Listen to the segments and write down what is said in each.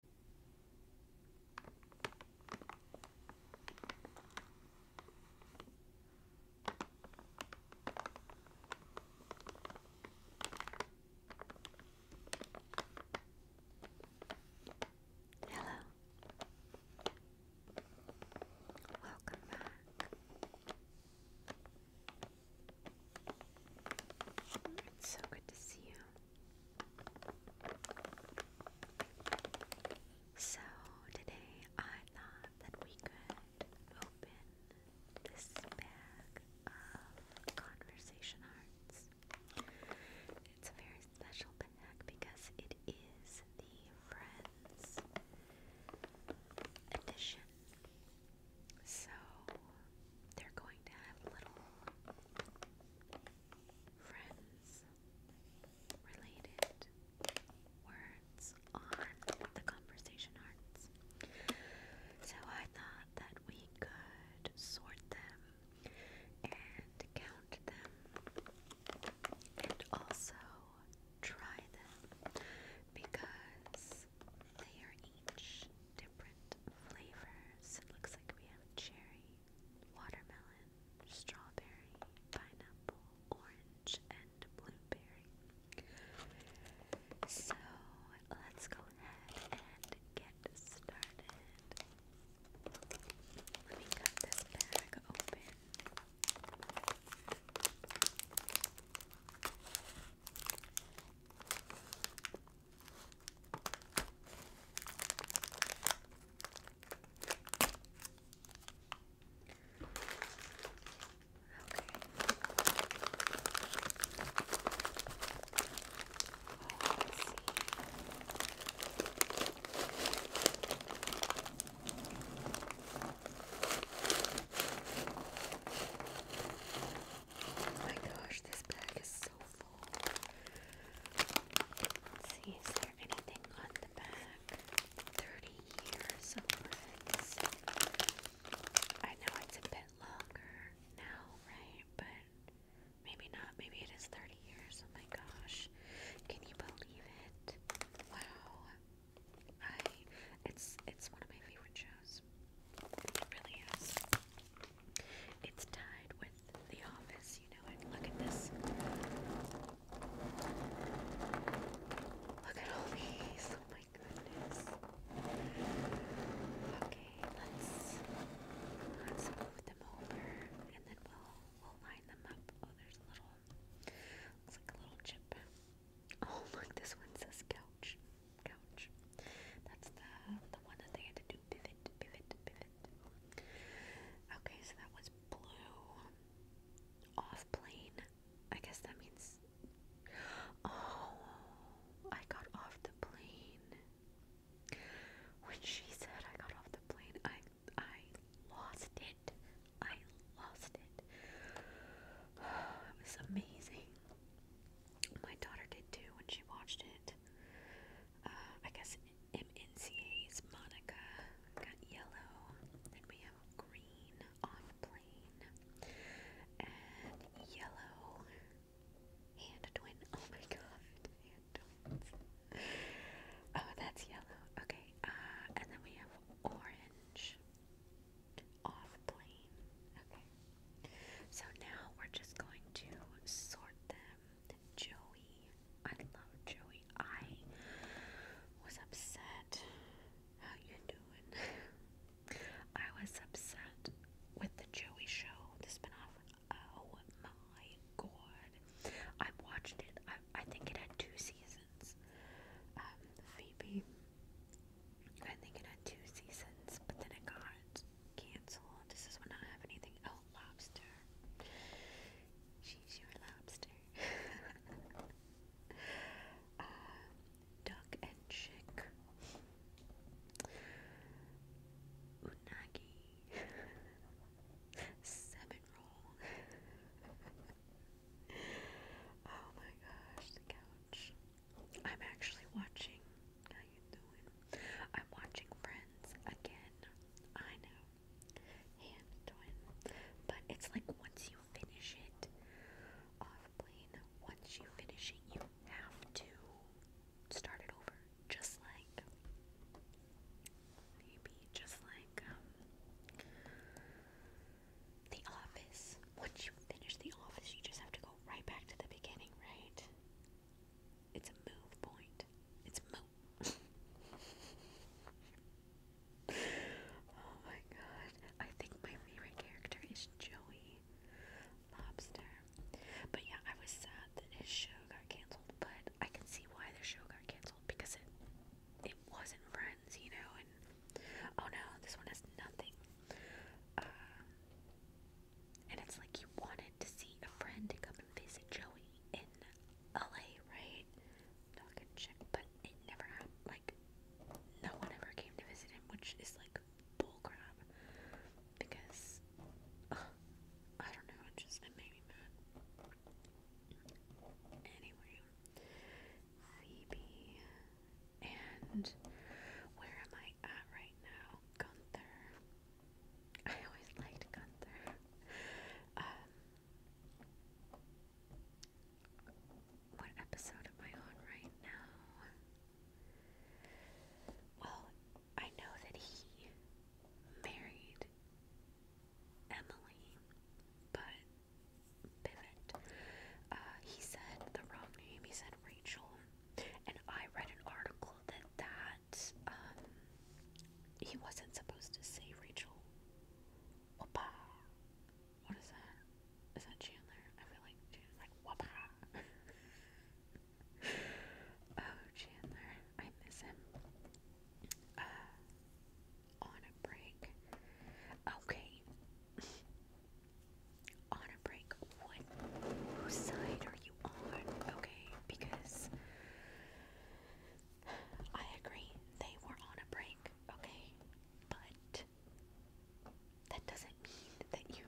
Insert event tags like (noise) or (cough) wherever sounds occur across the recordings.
Hello. Welcome back. It's so good to see you. So today I thought that we could open this bag of conversation hearts. It's a very special bag because it is the Friends edition. So they're going to have little friends related words on the conversation arts. So I thought that we could sort them and count them and also try them because they are each different flavors. It looks like we have cherry, watermelon, strawberry, pineapple, orange, and blueberry. So let's go ahead and get started. Let me cut this bag open. Oh my gosh, this bag is so see, is there anything on the back? 30 years I know it's a bit longer now, right? But maybe not. Maybe it is 30 years. Oh my gosh. Can you believe it? Wow. I it's it's one of my favorite shows. It really is. It's tied with The Office, you know it. Look at this. Look at all these. Oh my goodness. Okay, let's let's move them over and then we'll we'll line them up. Oh, there's a little looks like a little chip. Oh look, this one says couch couch. That's the the one that they had to do pivot, pivot, pivot. Okay, so that was blue. Off plane. I guess that means. Oh, I got off the plane. When she said I got off the plane, I I lost it. I lost it. (sighs) it was amazing. My daughter did too when she watched it. Uh, I guess MNCA's Monica got yellow. Then we have green on plane and yellow hand twin. (laughs) Oh my god, hand twins. Oh, that's yellow. Okay, uh, and then we have orange off plane. Okay. So now we're just going to sort them. Joey. I love Joey. I was upset. How you doing? I was upset with the Joey show, the spinoff. Oh my god. I watched it. I, I think it had two seasons. Um, Phoebe. I think it had two seasons, but then it got Cancel. This is when I don't have anything. Oh, lobster. She's your lobster. (laughs) Uh, duck and chick. Unagi. (laughs) Seven roll. (laughs) oh my gosh, the couch. I'm actually watching. How you doing? I'm watching Friends again. I know, hand twin, but it's like once you finish it, off plane. Once you finish it, you have to start it over. Just like maybe, just like um, The Office. Once you finish The Office, you just have to go right back to the beginning, right? It's a move point. It's a move. (laughs) oh my god. I think my favorite character is Joey Lobster. But yeah, I was sad that his show got canceled, but I can see why the show got canceled because it it wasn't friends, you know, and oh no, this one has nothing. Uh, and it's like you wanted to see a friend come and visit Joey in LA, right? Not gonna check, but it never happened. Like, no one ever came to visit him, which is like bullcrap. Because, I don't know, just it made me mad. Anyway, Phoebe and where am I at right now? Gunther. I always liked Gunther. Um, what episode am I on right now? Well, I know that he married Emily, but pivot. Uh, he said the wrong name. He said Rachel, and I read an article that that um, he wasn't supposed to say Rachel. Whoppa. What is that? Is that Chandler? I feel like Chandler, like whoppa. (laughs) oh, Chandler, I miss him. Uh, on a break. Okay. (laughs) on a break. What whose side are you on? Okay, because I agree they were on a break, okay? But that doesn't mean that you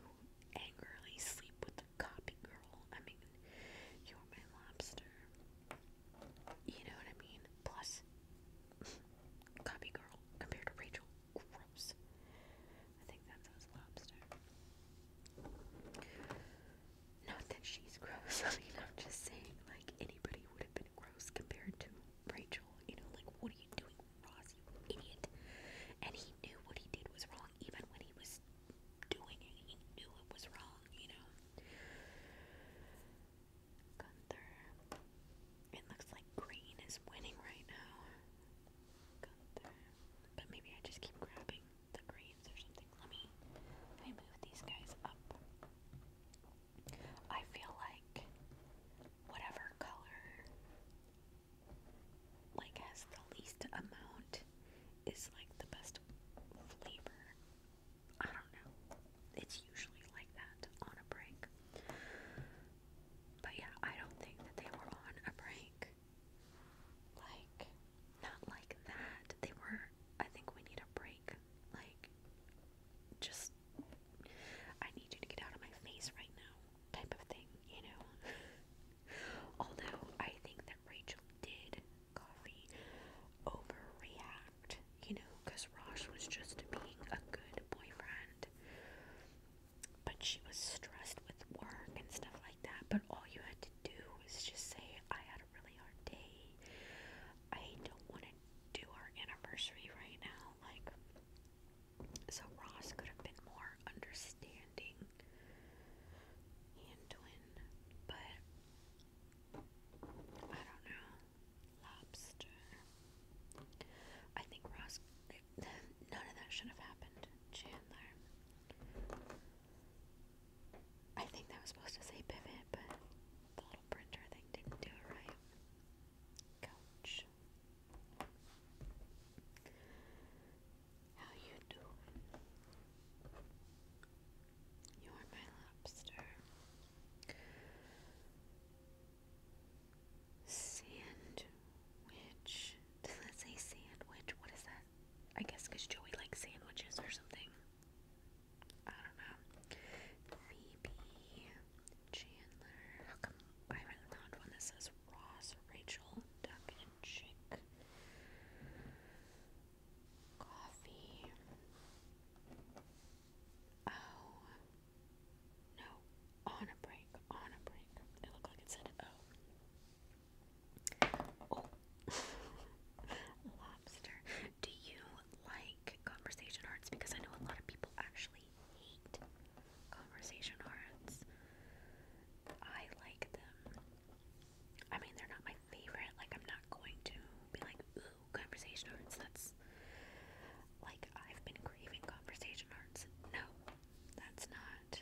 angrily sleep with the copy girl. I mean, you're my lobster. You know what I mean? Plus, (laughs) copy girl compared to Rachel Gross. I think that says lobster. Not that she's gross. (laughs) I mean, I'm just saying, like, anybody would have been gross compared to Rachel. You know, like, what are you doing, Ross, you idiot? And he knew what he did was wrong, even when he was doing it. He knew it was wrong, you know? Gunther. It looks like green is winning right now. But maybe I just keep grabbing the greens or something. Let me, let me move these guys up. I feel like whatever color like has the least amount is like the best flavor. I don't know. It's usually like that on a break. But yeah, I don't think that they were on a break. Like, not like that. They were, I think we need a break. Like, just, I need you to get out of my face right now, type of thing, you know? (laughs) Although, I think that Rachel did overreact, you know, because Rosh was just being a good boyfriend but she was stressed with work and stuff like that. But all you had to do was just say, I had a really hard day. I don't want to do our anniversary right now. Like, so Ross could have been more understanding. He and Twin, but I don't know. Lobster. I think Ross None of that should have happened, Chandler. I think I was supposed to say pivot, but the little printer thing didn't do it right. Coach. How you doing? You're my lobster. Sandwich. Does that say sandwich? What is that? I guess because Joey likes sandwiches or something. I don't know. Phoebe, Chandler. How come I haven't found one that Ross, Rachel, Duck, and Chick? Coffee. Oh, no, on a break, on a break. It looked like it said oh. oh. (laughs) Lobster. Do you like conversation arts? Because I know a lot of people actually hate conversation arts. I like them. I mean, they're not my favorite. Like, I'm not going to be like, ooh, conversation arts. That's like I've been craving conversation arts. No, that's not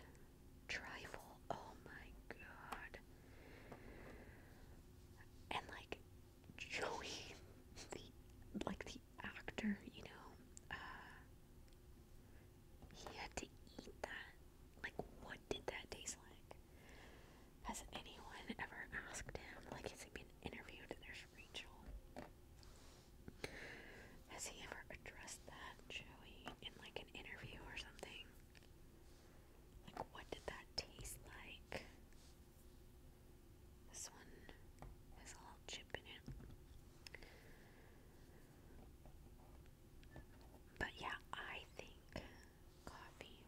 trifle. Oh my god. And like Joey, (laughs) the like the actor, you know, uh, he had to eat that. Like, what did that taste like? Has anyone ever asked him? Like, has he been interviewed? There's Rachel. Has he ever addressed that, Joey, in like an interview or something? Like, what did that taste like? This one has a little chip in it. But yeah, I think coffee.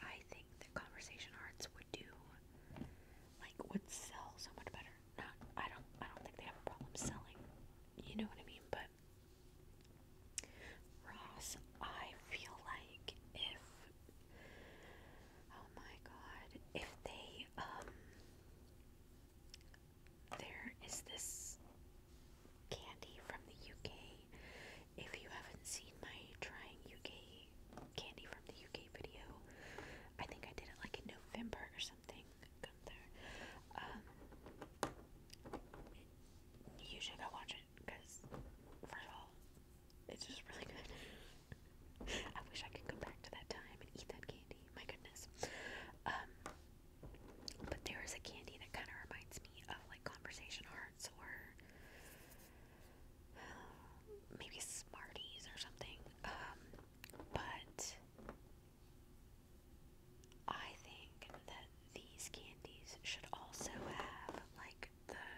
I think that conversation arts would do, like, would sell so much better not I don't I don't think they have a problem selling. You know what I mean? But Ross, I feel like if oh my god, if they um there is this candy from the UK. If you haven't seen my trying UK candy from the UK video. I think I did it like in November or something. Um, you should go watch it because, first of all, it's just really good. (laughs) I wish I could go back to that time and eat that candy. My goodness. Um, but there is a candy that kind of reminds me of like conversation hearts or (sighs) maybe Smarties or something. Um, but I think that these candies should also have like the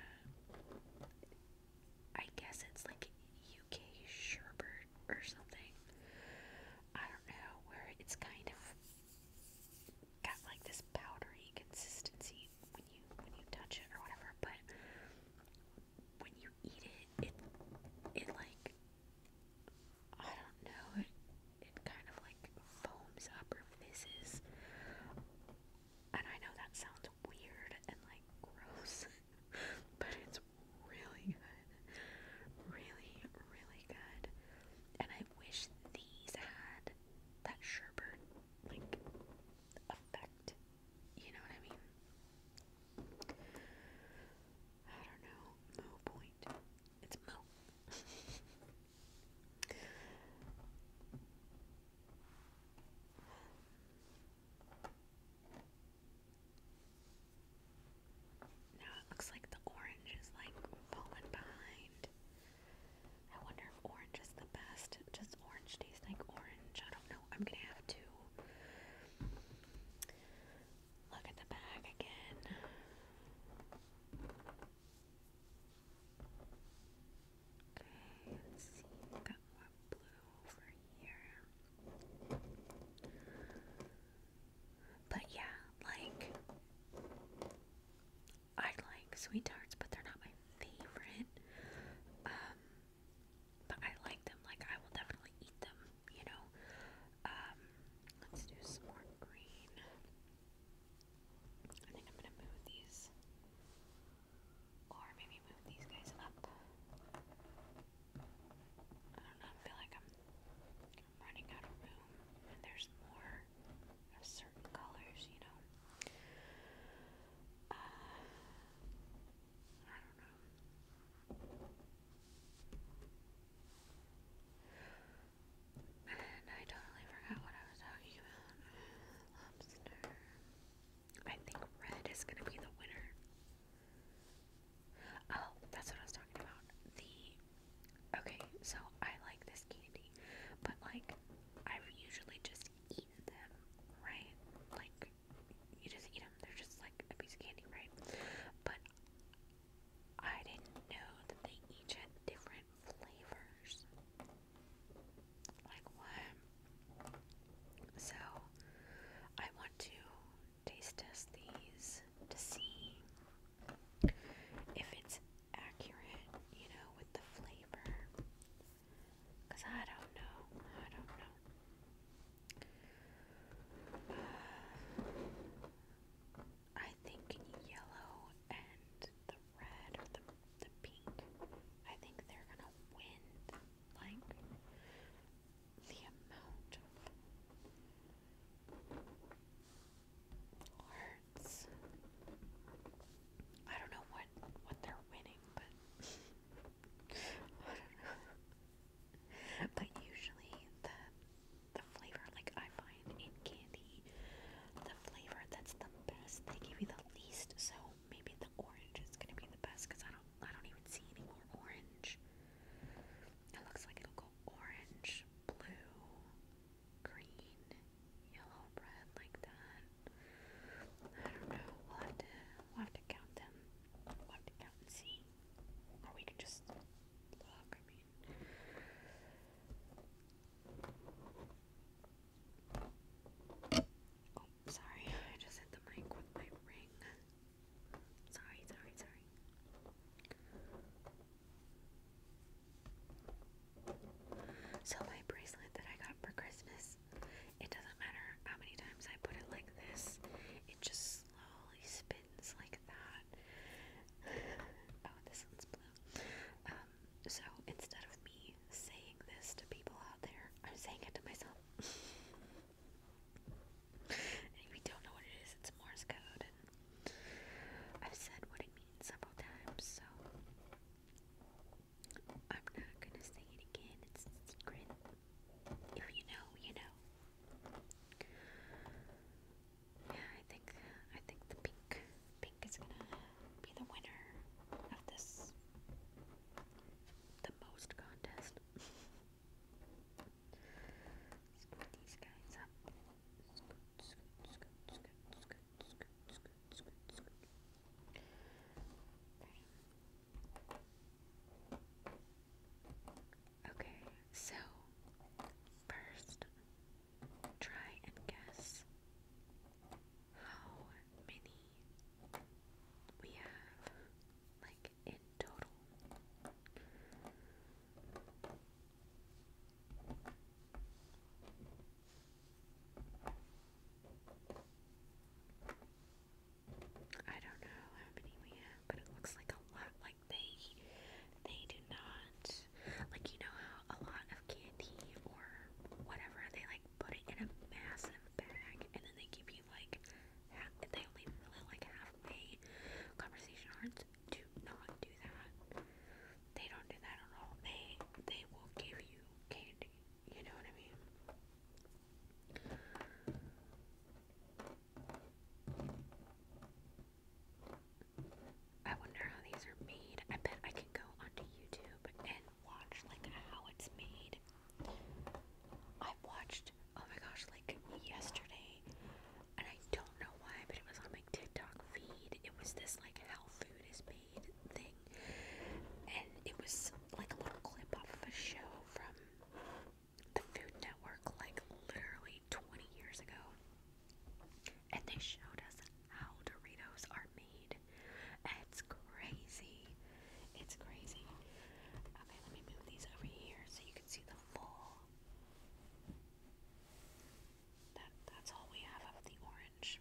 I guess it's like UK sherbet or something. I don't know where it's kind of got like this powdery consistency when you when you touch it or whatever, but when you eat it, it it like I don't know, it it kind of like foams up or fizzes. And I know that sounds weird and like gross, (laughs) but it's really good. Really, really good. And I wish these had that sherbert like effect you know what I mean? I don't know. Mo point. It's Mo. (laughs) now it looks like the orange is like falling behind. I wonder if orange is the best. Does orange taste like orange? I don't know. I'm gonna have to Look at the bag again. Okay, let's see. We've blue over here. But yeah, like I like sweet tarts, but they're not my favorite. Um, but I like them. Like I will definitely eat them. You know. Um, let's do some more green. I think I'm gonna move these, or maybe move these guys up. I don't know. I feel like I'm, running out of room, and there's more of certain colors. You know. Uh, and I totally forgot what I was talking about. Lobster. I think red is gonna be the winner. Oh, that's what I was talking about. The okay, so I like this candy, but like I've usually just eaten them, right? Like you just eat them. They're just like a piece of candy, right? But I didn't know that they each had different flavors. Like what? So I want to taste test these to see if it's accurate, you know, with the flavor. Cause I don't know. I don't know. Uh, I think yellow and the red or the the pink. I think they're gonna win. Like the amount of hearts. I don't know what what they're winning, but. I don't know. But usually the the flavor like I find in candy, the flavor that's the best, they give you the least. So maybe the orange is gonna be the best because I don't I don't even see any more orange. It looks like it'll go orange, blue, green, yellow, red like that. I don't know. We'll have to we'll have to count them. We'll have to count and see. Or we can just look, oh, sorry, (laughs) I just hit the mic with my ring. Sorry, sorry, sorry. So my bracelet that I got for Christmas it doesn't matter how many times I put it like this, it just slowly spins like that. (sighs) oh, this one's blue. Um, so instead of me saying this to people out there, I'm saying it to myself. if (laughs) you don't know what it is, it's Morse code, I've said what it means several times, so I'm not gonna say it again, it's secret. If you know, you know. Yeah, I think I think the pink pink is gonna be the winner of this the most contest. (laughs) scoot these guys up. Okay, so first try and guess how many we have, like in total. I don't know how many we have, but it looks like a lot. Like they, they do not like you know how a lot of candy or whatever they like put it in a massive bag and then they give you like they only really like halfway. Conversation hearts do not do that. They don't do that at all. They they will give you candy you know what I mean? I wonder how these are made. I bet I can go onto YouTube and watch like how it's made. I watched, oh my gosh, like yesterday, and I don't know why, but it was on my TikTok feed. It was this like how food is made thing, and it was like a little clip off of a show from the Food Network, like literally 20 years ago. And they showed us how Doritos are made. It's crazy. It's crazy. Okay, let me move these over here so you can see the full. that's all we have of the orange.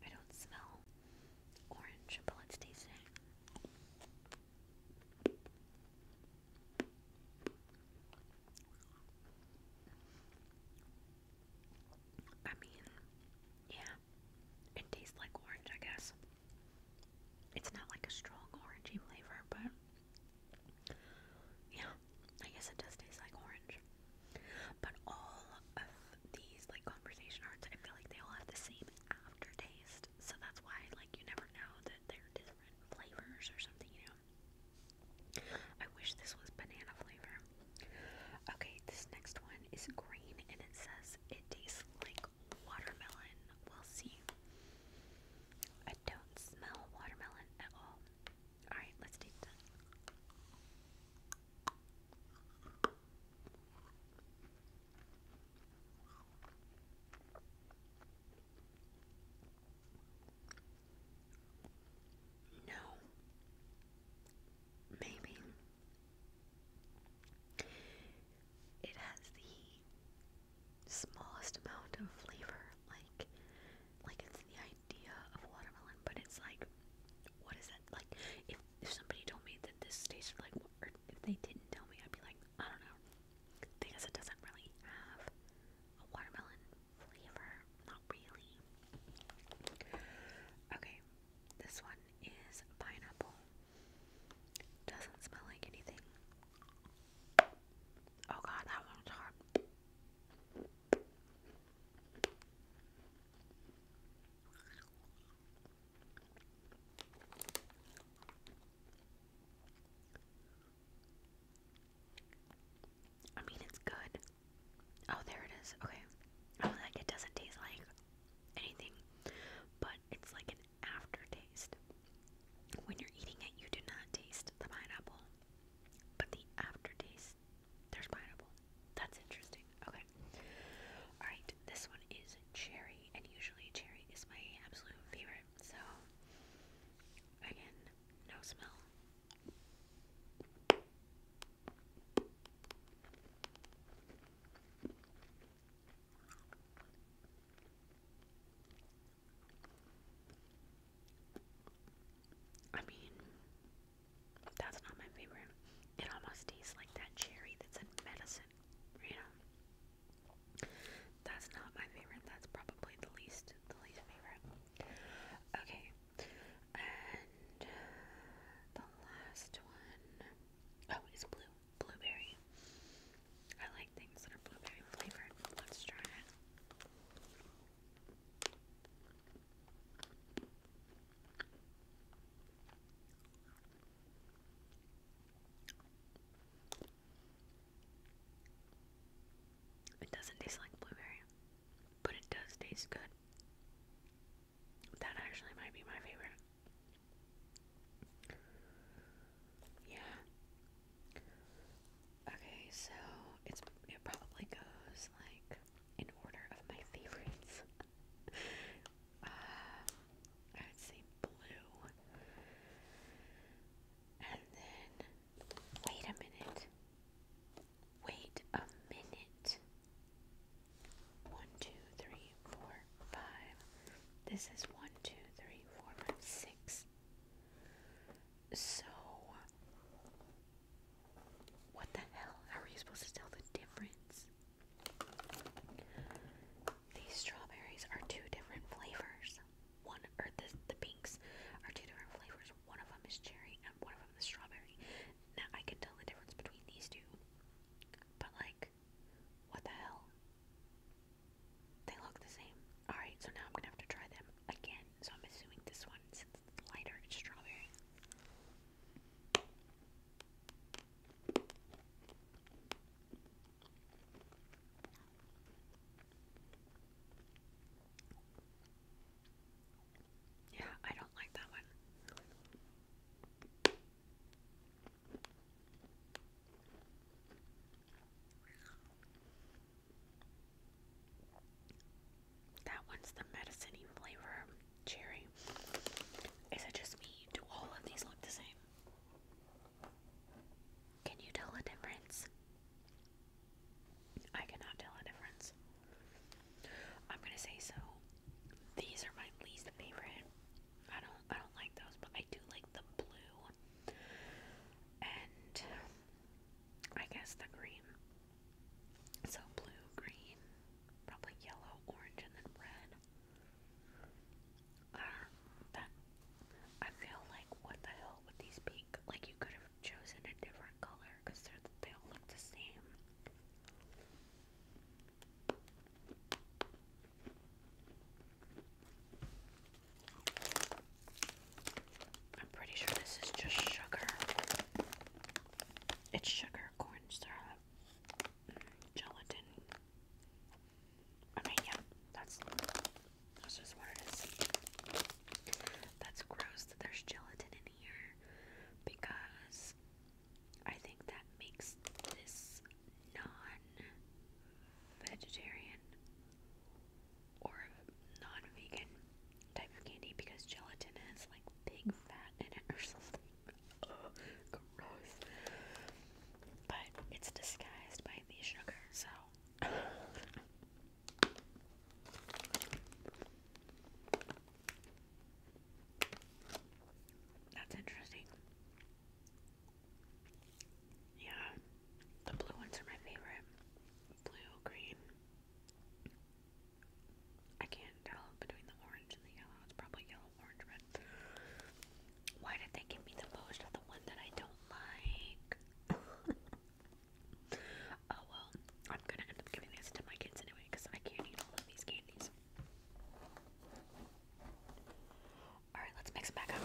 I don't smell orange, but let's I mean, yeah, it tastes like orange, I guess. It's not like a strong orangey flavor, but yeah, I guess it does taste like orange. But all of these like conversation arts, I feel like they all have the same aftertaste. So that's why like you never know that they're different flavors or something, you know. I wish this was banana flavor. Okay, this next one is green and it says it tastes like watermelon. We'll see. I don't smell watermelon at all. Alright, let's taste it. No. Maybe. It has the smallest amount of flavor, like like it's the idea of watermelon, but it's like, what is that? Like, if, if somebody told me that this tasted like, or if they didn't tell me, I'd be like, I don't know. Because it doesn't really have a watermelon flavor. Not really. Okay, this one is pineapple. Doesn't smell like anything. Oh god, that one's hard. I mean, it's good. Oh, there it is. Okay. Oh, like it doesn't taste like anything, but it's like an aftertaste. When you're eating it, you do not taste the pineapple, but the aftertaste there's pineapple. That's interesting. Okay. Alright, this one is cherry, and usually cherry is my absolute favorite. So, again, no smell. I mean, that's not my favorite. It almost tastes like that cherry that's in medicine, you know? That's not my favorite. That's probably the least, the least favorite. Okay, and the last one, oh, is blue, blueberry. I like things that are blueberry flavored. Let's try it. It doesn't taste like blueberry, but it does taste good. That actually might be my favorite. Yeah. Okay, so it's it probably goes like in order of my favorites. (laughs) Uh, I would say blue, and then wait a minute. Wait a minute. One, two, three, four, five. This is one, two, three, four, five, six. So what the hell? How are you supposed to tell the difference? These strawberries are two different flavors. One, or the, the pinks are two different flavors. One of them is cherry and one of them is strawberry. Now I can tell the difference between these two. But like, what the hell? They look the same. Alright, so now I'm gonna have to try them again so I'm assuming this one since it's lighter, it's strawberry. Yeah, I don't like that one. That one's the medicine flavor cherry. Is it just me? Do all of these look the same? Can you tell a difference? I cannot tell a difference. I'm gonna say so. These are my least favorite. I don't I don't like those, but I do like the blue. And I guess the green. So blue, green, probably yellow, orange, and then red. that I feel like what the hell with these pink? Like you could have chosen a different color because they all look the same. I'm pretty sure this is just sugar. It's sugar, corn syrup, gelatin. I mean, yeah, that's that's just what it is. That's gross there's gelatin in here because I think that makes this non-vegetarian or non-vegan type of candy because gelatin has like big fat in it or something. Ugh, gross. But it's disguised by the sugar, so. That's interesting. Yeah, the blue ones are my favorite blue green. I can't tell between the orange and the yellow. It's probably yellow, orange, red. Why did they give me the most of the one that I don't like? (laughs) oh well, I'm gonna end up giving this to my kids anyway because I can't eat all of these candies. Alright, let's mix them back up.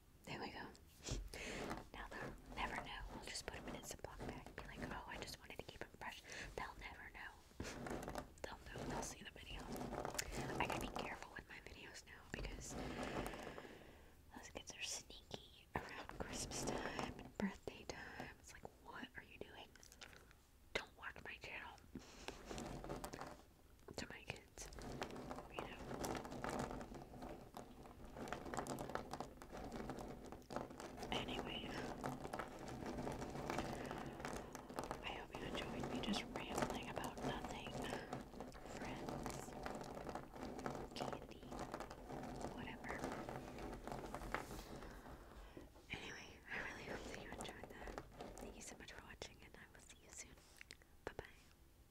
There we go. Now they'll never know. We'll just put them in its Ziploc bag and be like, oh, I just wanted to keep them fresh. They'll never know. they'll know. They'll see the video. I gotta be careful with my videos now because those kids are sneaky around Christmas time and birthday time. It's like, what are you doing? Don't watch my channel. To my Anyway, I hope you enjoyed me just rambling about nothing. Friends, candy, whatever. Anyway, I really hope that you enjoyed that. Thank you so much for watching, and I will see you soon. Bye bye.